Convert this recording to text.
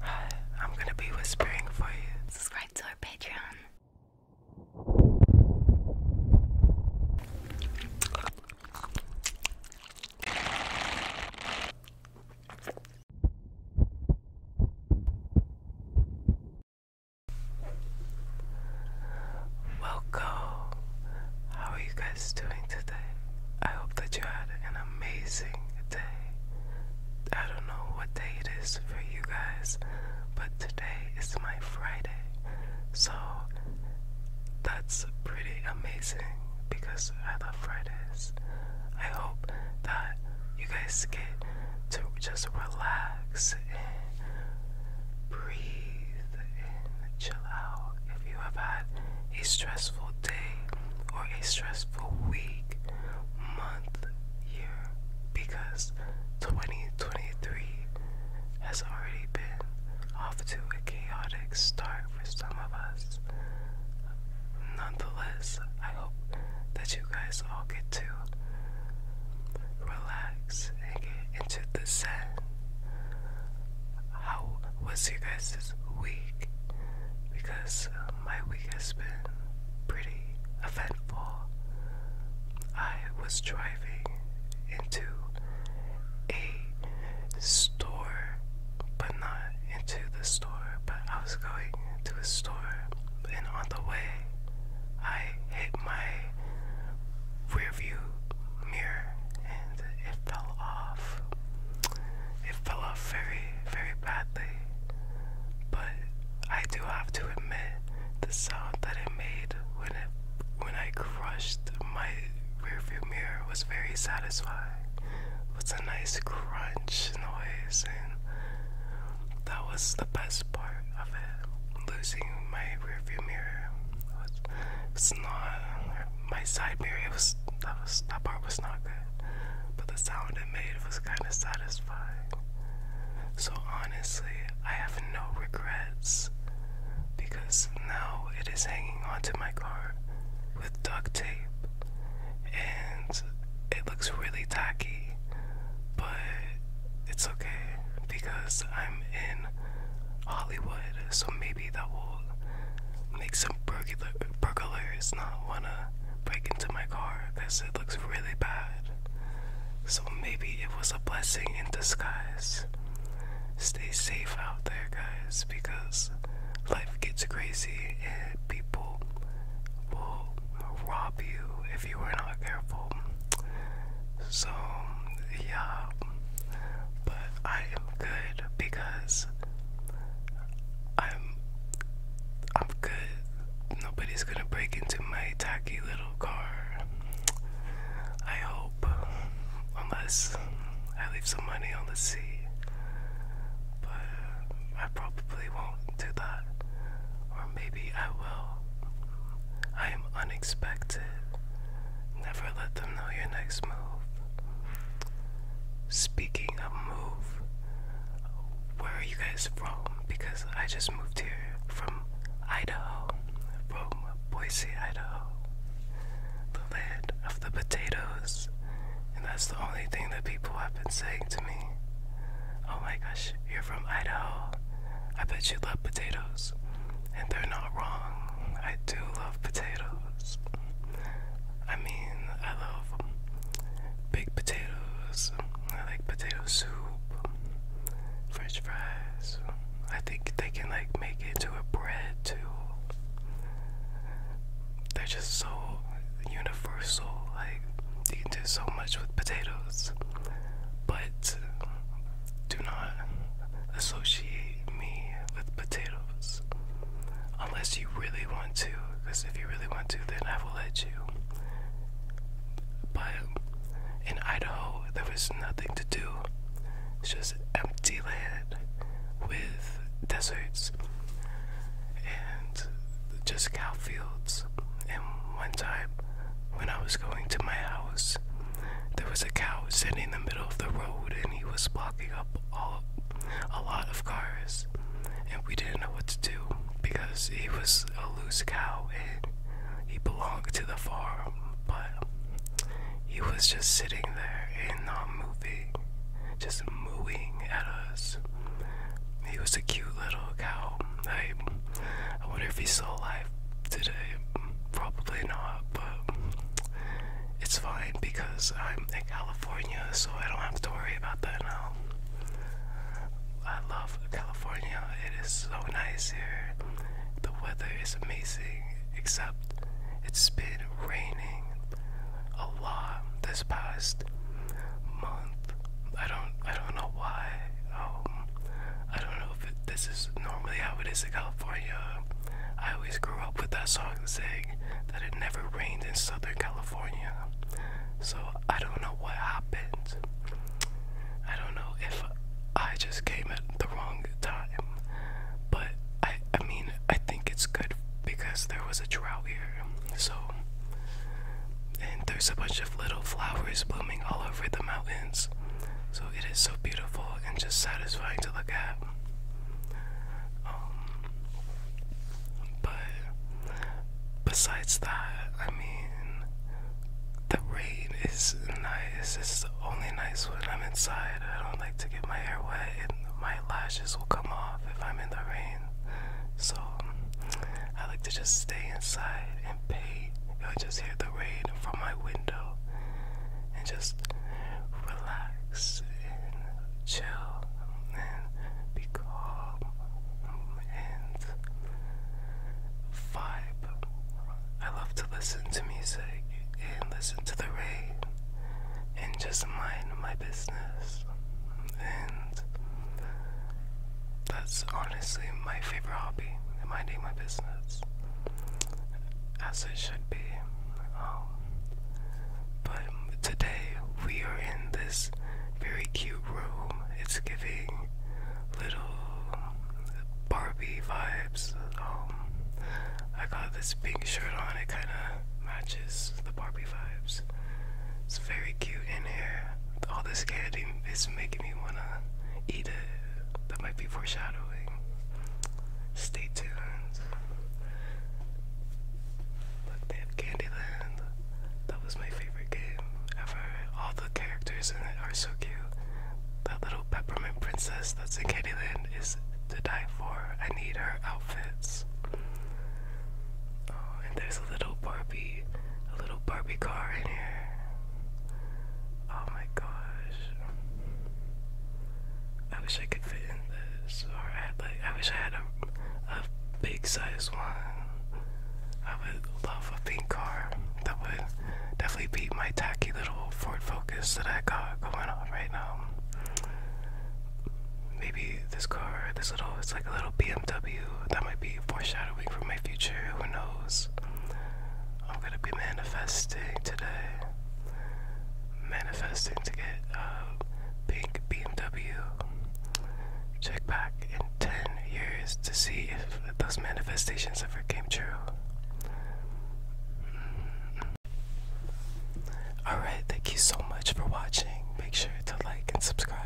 Hi, I'm gonna be whispering for you. Subscribe to our Patreon. Welcome. How are you guys doing today? I hope that you had an amazing day. I don't know what day it is for you guys, but today is my Friday. So that's pretty amazing because I love Fridays. I hope that you guys get to just relax and breathe and chill out if you have had a stressful day or a stressful week, month, year, because 2023 has already been off to a chaotic start for some of us. Nonetheless, I hope that you guys all get to relax and get into the zen how was your guys' week? Because uh, my week has been pretty eventful. I was driving into a store, but not into the store, but I was going to a store, and on the way, I hit my rearview mirror, and it fell off. It fell off very, very badly. But I do have to admit the sound that it made when it when I crushed my rearview mirror was very satisfying. It was a nice crunch noise and that was the best part of it. Losing my rearview mirror was it's not my side mirror was that was that part was not good, but the sound it made was kind of satisfying. So honestly, I have no regrets because now it is hanging onto my car with duct tape, and it looks really tacky, but it's okay because I'm in Hollywood, so maybe that will make some burglars not wanna break into my car because it looks really bad. So maybe it was a blessing in disguise. Stay safe out there, guys, because life gets crazy and people will rob you if you are not careful. So, yeah, but I am good because I'm I'm good. Nobody's gonna break into my tacky little car. I hope, unless I leave some money on the sea. But I probably won't do that, or maybe I will. I am unexpected. Never let them know your next move. Speaking of move, where are you guys from? Because I just moved here from Idaho, from Boise, Idaho. The land of the potatoes. And that's the only thing that people have been saying to me. Oh my gosh, from Idaho. I bet you love potatoes. And they're not wrong. I do love potatoes. I mean, I love big potatoes. I like potato soup, french fries. I think they can like make it into a bread too. They're just so universal. Like, you can do so much with potatoes but do not associate me with potatoes unless you really want to. Because if you really want to, then I will let you. But in Idaho, there was nothing to do, it's just empty land with deserts and just cow fields house. And one time, when I was going to my house, there was a cow sitting in the middle of the road and he was blocking up all, a lot of cars. And we didn't know what to do because he was a loose cow and he belonged to the farm, but he was just sitting there and not moving, just mooing at us. He was a cute little cow. I, I wonder if he's still alive today. Probably not, but it's fine because I'm in California, so I don't have to worry about that now. I love California. It is so nice here. The weather is amazing, except it's been raining a lot this past month. I don't I don't know why. Um, I don't know if it, this is normally how it is in California. I always grew up with that song saying that it never rained in Southern California. So I don't know what happened. I don't know if I just came at the wrong time. But I I mean I think it's good because there was a drought here so and there's a bunch of little flowers blooming all over the mountains. So it is so beautiful and just satisfying to look at. Um, but besides that, I mean, the rain is nice. It's only nice when I'm inside. I don't like to get my hair wet, and my lashes will come off if I'm in the rain. So I like to just stay inside and paint. I just hear the rain from my window and just relax and chill and be calm and vibe. I love to listen to music and listen to the rain and just mind my business. And that's honestly my favorite hobby, minding my business, as it should be. Um, but today we are in this very cute room. It's giving little Barbie vibes. Um, I got this pink shirt on. It kind of matches the Barbie vibes. It's very cute in here. All this candy is making me wanna eat it. That might be foreshadowing. Stay tuned. Look, they Candyland. That was my favorite game ever. All the characters are so cute. That little peppermint princess that's in Candyland is to die for. I need her outfits. Oh, and there's a little Barbie, a little Barbie car in here. Oh my gosh. I wish I could fit in this, or I had, like I wish I had a, a big size one. I would love a pink car. That would definitely beat my tacky little Ford Focus that I got going on right now. Maybe this car, this little, it's like a little BMW. That might be foreshadowing for my future. Who knows? I'm gonna be manifesting today. Manifesting to get a pink BMW. Check back in 10 years to see if those manifestations ever came true. Mm-hmm. Alright, thank you so much for watching. Make sure to like and subscribe.